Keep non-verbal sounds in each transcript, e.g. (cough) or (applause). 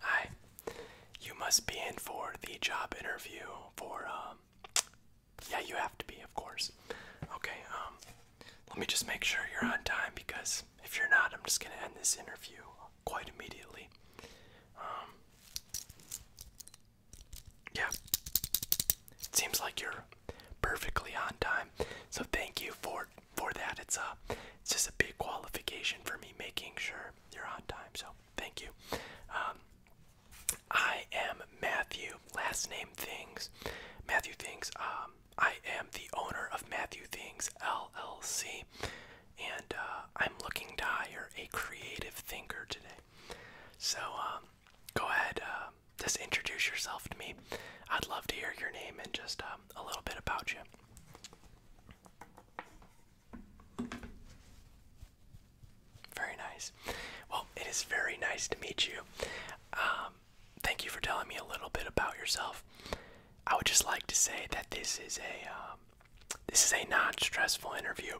Hi. You must be in for the job interview for um yeah, you have to be, of course. Okay, um let me just make sure you're on time because if you're not, I'm just going to end this interview quite immediately. Um, yeah. It seems like you're perfectly on time. So thank you for for that. It's a uh, it's just a big qualification for me making sure you're on time. So thank you. Um, I am Matthew. Last name Things. Matthew Things. Um, I am the owner of Matthew Things LLC, and uh, I'm looking to hire a creative thinker today. So um, go ahead, um, just introduce yourself to me. I'd love to hear your name and just um, a little bit about you. Very nice. Well, it is very nice to meet you. Um, thank you for telling me a little bit about yourself. I would just like to say that this is a um, this is a non-stressful interview.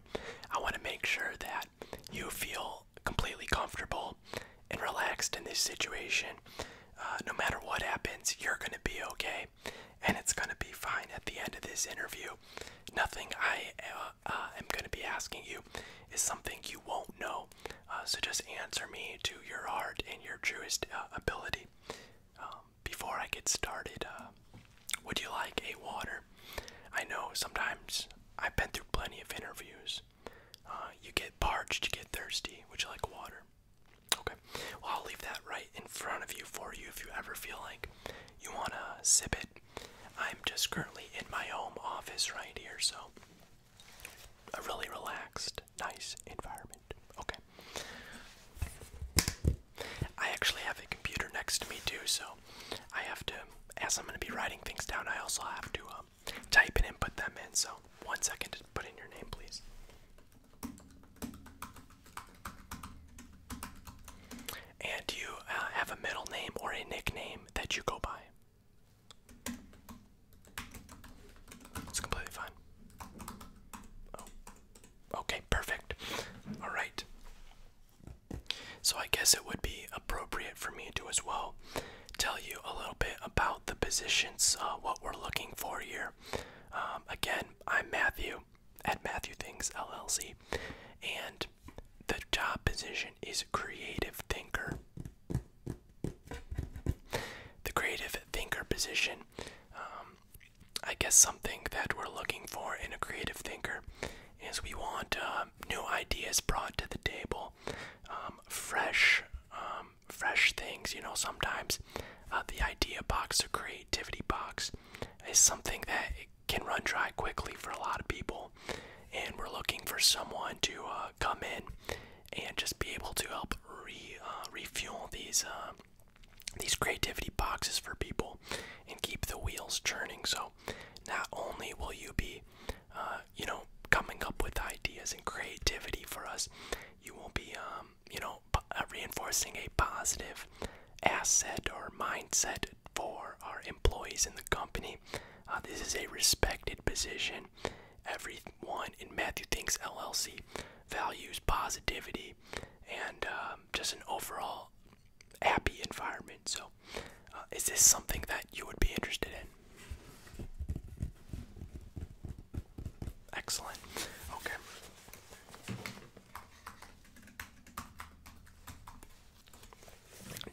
I want to make sure that you feel completely comfortable and relaxed in this situation. Uh, no matter what happens, you're going to be okay, and it's going to be fine at the end of this interview. Nothing I uh, uh, am going to be asking you is something you won't know. so just answer me to your heart and your truest ability. Um, before I get started, would you like a water? I know sometimes I've been through plenty of interviews. Uh, you get parched, you get thirsty. Would you like water? Okay. Well, I'll leave that right in front of you for you if you ever feel like you want to sip it. I'm just currently in my home office right here, so a really relaxed, nice environment. Okay. I actually have a computer next to me too, so I have to, as I'm going to be writing things down, I also have to uh, um, type in and put them in. So, one second to put in your name, please. And you uh, have a middle name or a nickname that you go by? It's completely fine. Oh. Okay, perfect. All right. So I guess it would be appropriate for me to as well tell you a little bit about the positions, uh, what we're looking for here. Um, again, I'm Matthew at Matthew Things LLC, and the job position is creative thinker. The creative thinker position, um, I guess, something that we're looking for in a creative thinker is we want uh, new ideas brought to the table um, fresh, um, fresh things. You know, sometimes uh, the idea box or creativity box is something that can run dry quickly for a lot of people, and we're looking for someone to uh, come in and just be able to help re uh, refuel these. Uh, these creativity boxes for people and keep the wheels churning. So, not only will you be uh, you know, coming up with ideas and creativity for us. You will be, um, you know, uh, reinforcing a positive asset or mindset for our employees in the company. Uh, this is a respected position. Everyone in Matthew Thinks LLC values positivity and um, just an overall happy environment. So, uh, is this something that you would be interested in? Excellent. Okay.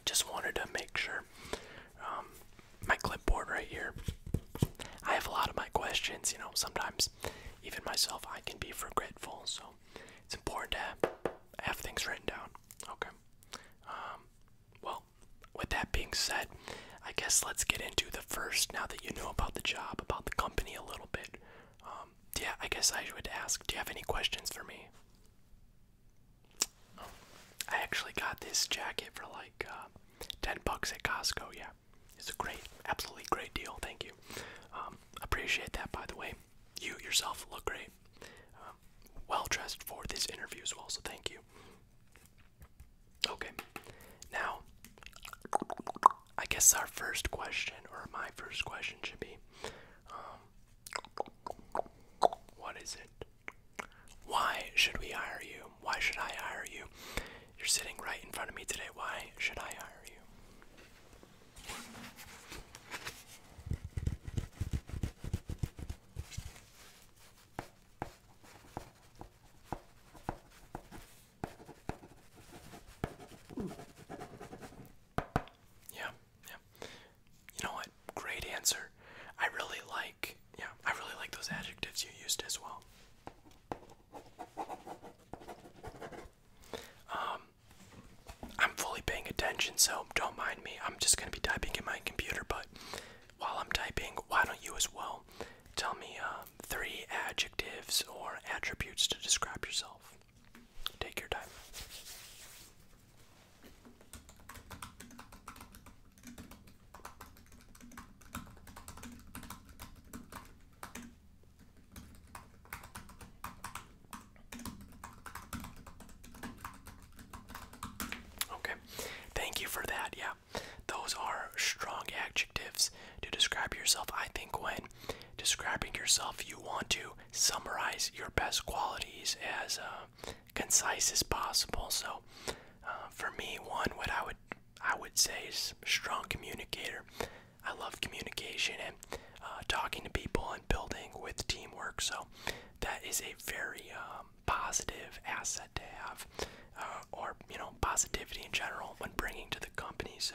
Just wanted to make sure um, my clipboard right here. I have a lot of my questions, you know, sometimes even myself I can be forgetful, so it's important to have, things written down. Okay. Um, well, with that being said, I guess let's get into the first. Now that you know about the job, about the company a little bit, um, yeah, I guess I would ask. Do you have any questions for me? Oh, I actually got this jacket for like uh, ten bucks at Costco. Yeah, it's a great, absolutely great deal. Thank you. Um, appreciate that, by the way. You yourself look great. Um, well dressed for this interview as well, so thank you. Okay, now I guess our first question, or my first question, should be um, What is it? Why should we hire you? Why should I hire you? You're sitting right in front of me today. Why should I hire you? Yeah, yeah. You know what? Great answer. I really like yeah, I really like those adjectives you used as well. Um I'm fully paying attention, so don't mind me. I'm just gonna be typing in my computer, but while I'm typing, why don't you as well tell me uh, three adjectives or attributes to describe yourself? Take your time. Okay, thank you for that. Yeah, those are strong adjectives to describe yourself. I think when describing yourself, you want to summarize your best qualities as uh, concise as possible. So, uh, for me, one what I would I would say is strong communicator. I love communication and uh, talking to people and building with teamwork. So, that is a very um, positive asset to have, uh, or you know, positivity in general when bringing to the company. So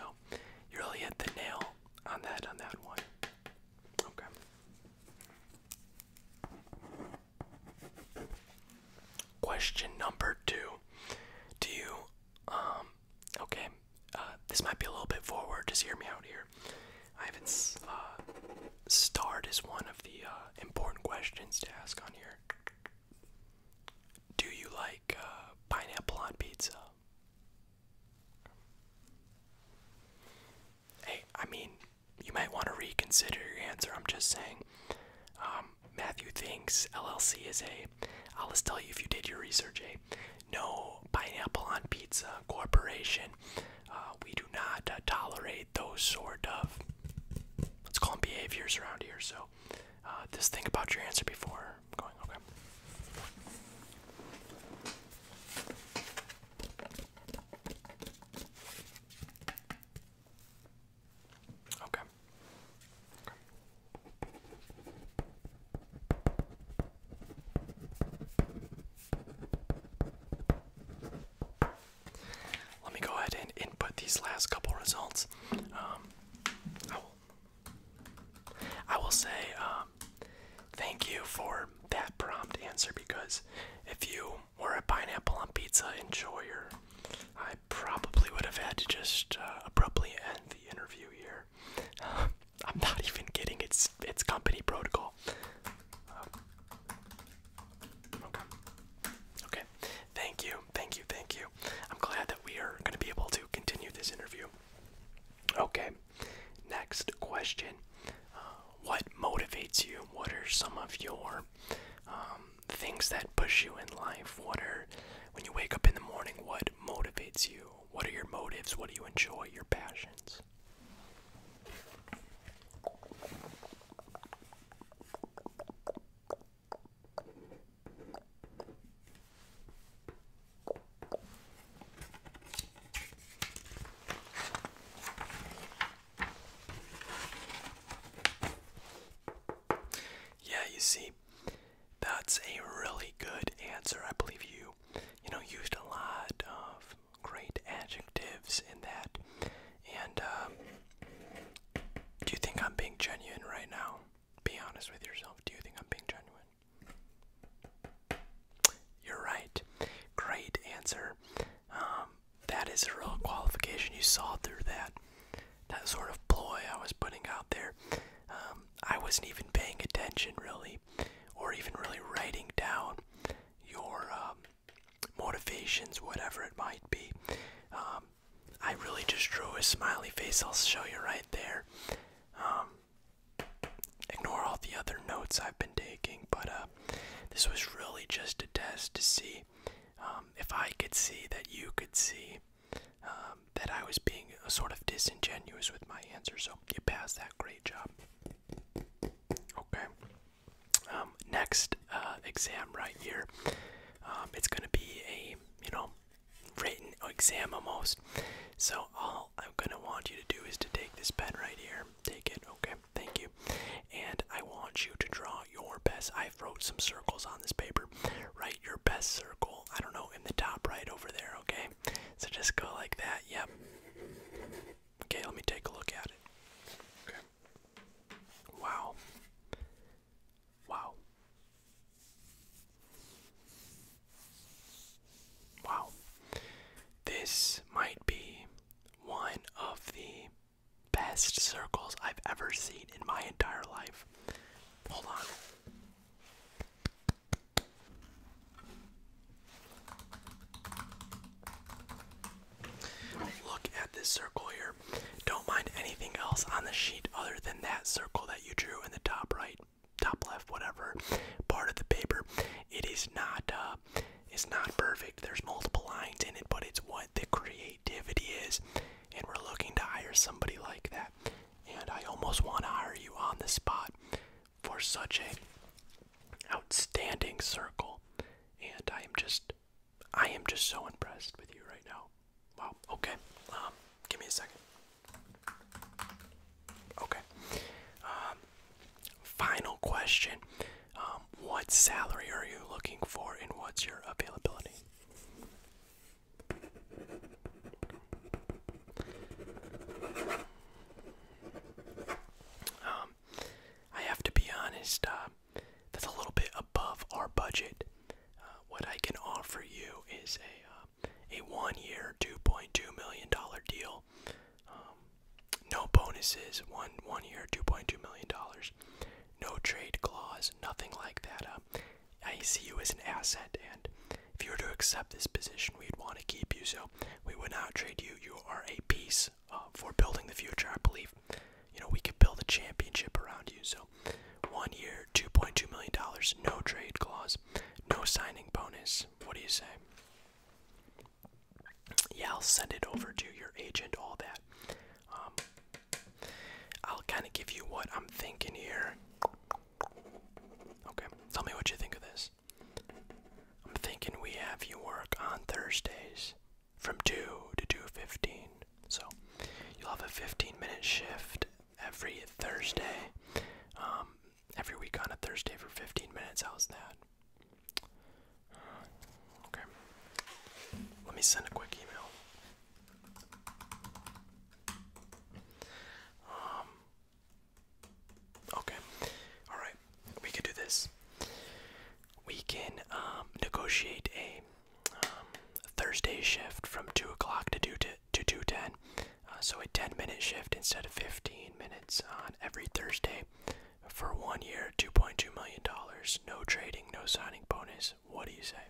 you really hit the nail on that on that one. Okay. Question number two: Do you, um, okay, uh, this might be a little bit forward. Just hear me out here. I haven't uh, starred as one of the uh, important questions to ask on here. Do you like uh, pineapple on pizza? Hey, I mean, you might want to reconsider your answer. I'm just saying. Um, Matthew thinks LLC is a. I'll just tell you if you did your research. A no pineapple on pizza corporation. Uh, we do not uh, tolerate those sort of let's call them behaviors around here. So uh, just think about your answer before Okay. okay. Let me go ahead and input these last couple results. Um, I will, say um, thank you for that prompt answer because if you were a pineapple on pizza enjoyer, I probably would have had to just uh, abruptly end the interview here. (laughs) I'm not even getting It's it's company protocol. Okay. Okay. Thank you. Thank you. Thank you. I'm glad that we are going to be able to continue this interview. Okay. Next question. Uh, what motivates you? What are some of your um, things that push you in life? What are, when you wake up in the morning, what motivates you? What are your motives? What do you enjoy? Your passions? Yeah, you see, that's a really good answer. I believe you, you know, used a lot of great adjectives in that, and um, do you think I'm being genuine right now? Be honest with yourself. Do you think I'm being genuine? You're right. Great answer. Um, that is a real qualification. You saw through that. That sort of ploy I was putting out there. Um, I wasn't even paying attention, really, or even really writing down your um, motivations, whatever it might be. Um, I really just drew a smiley face. I'll show you right there. Um, ignore all the other notes I've been taking, but uh, this was really just a test to see um, if I could see that you could see that I was being sort of disingenuous with my answer. So get past that. Great job. Okay. Um, next uh, exam right here. Um, it's gonna be a you know written exam almost. So all I'm gonna want you to do is to take this pen right here. Take it, okay? Thank you. And I want you to draw your best. I've wrote some circles on this paper. Write your best circle. I don't know in the top right over there. Okay. So just go like that. Yep. Okay. Let me take a look at it. Okay. Wow. Wow. Wow. This might be one of the best circles I've ever seen in my entire life. Hold on. Look at this circle here. Don't mind anything else on the sheet other than that circle that you drew in the top right, top left, whatever part of the paper. It is not uh, it's not perfect. There's multiple lines in it, but it's what the creativity is. And we're looking to hire somebody like that. And I almost want to hire you on the spot for such a outstanding circle. And I am just I am just so impressed with you right now. Wow. Okay. Um, give me a second. Okay. Um, final question. Um, what salary are you looking for and what's your availability? Um, I have to be honest, uh, that's a little bit above our budget. Uh, what I can offer you is a uh, a one-year, two point two million dollar deal. Um, no bonuses. One one year, two point two million dollars. No trade clause. Nothing like that. Uh, I see you as an asset, and if you were to accept this position, we'd want to keep you. So we would not trade you. You are a piece for building the future. I believe you know, we could build a championship around you. So, one year, $2.2 million, no trade clause, no signing bonus. What do you say? Yeah, I'll send it over to your agent, all that. Um, I'll kind of give you what I'm thinking here. Okay, tell me what you think of this. I'm thinking we have you work on Thursdays from 2 to 2.15 so you'll have a 15 minute shift every thursday um, every week on a thursday for 15 minutes how's that uh, okay let me send a quick email um, okay all right we can do this we can um, negotiate a um, Thursday shift from two o'clock to two to two ten, uh, so a ten minute shift instead of fifteen minutes on every Thursday for one year, two point two million dollars. No trading, no signing bonus. What do you say?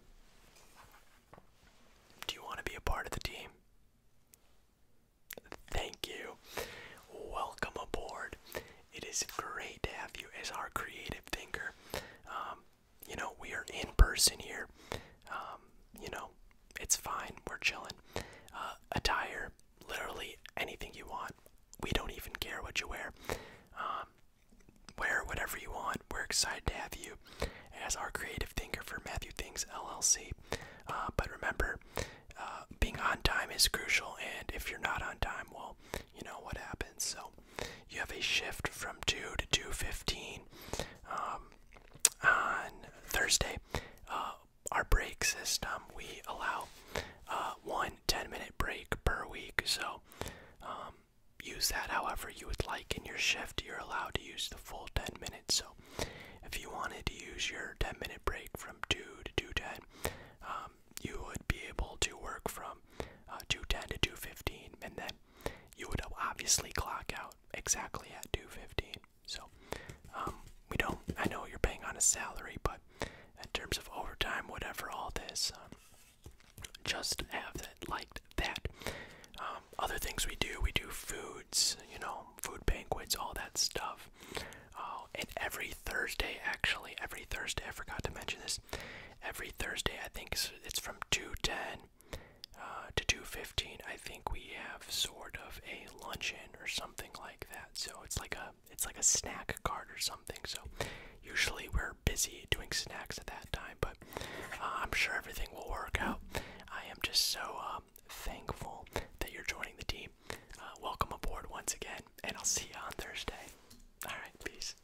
Do you want to be a part of the team? Thank you. Welcome aboard. It is great to have you as our creative thinker. Um, you know, we are in person here. Um, you know, it's fine. We're chilling. Uh, attire, literally anything you want. We don't even care what you wear. Um, wear whatever you want. We're excited to have you as our creative thinker for Matthew Things LLC. Uh, but remember, uh, being on time is crucial, and if you're not on time, well, you know what happens. So you have a shift from 2 to 2.15 um, on Thursday. Uh, our break system, we allow uh, one 10-minute break per week, so um, use that however you would like in your shift. You're allowed to use the full 10 minutes, so if you wanted to use your 10-minute break from 2 to 2.10, um, you would be able to work from uh, 2.10 to 2.15 and then you would obviously clock out exactly at 215. So um, we don't. I know you're paying on a salary, but in terms of overtime, whatever, all this, um, just have that like that. Um, other things we do, we do foods, you know, food banquets, all that stuff. Oh, and every Thursday, actually, every Thursday, I forgot to mention this every Thursday. I think it's from 2:10 uh, to 2:15. I think we have sort of a luncheon or something like that. So it's like a it's like a snack card or something. So usually we're busy doing snacks at that time, but uh, I'm sure everything will work out. I am just so um, thankful that you're joining the team. Uh, welcome aboard once again, and I'll see you on Thursday. All right, peace.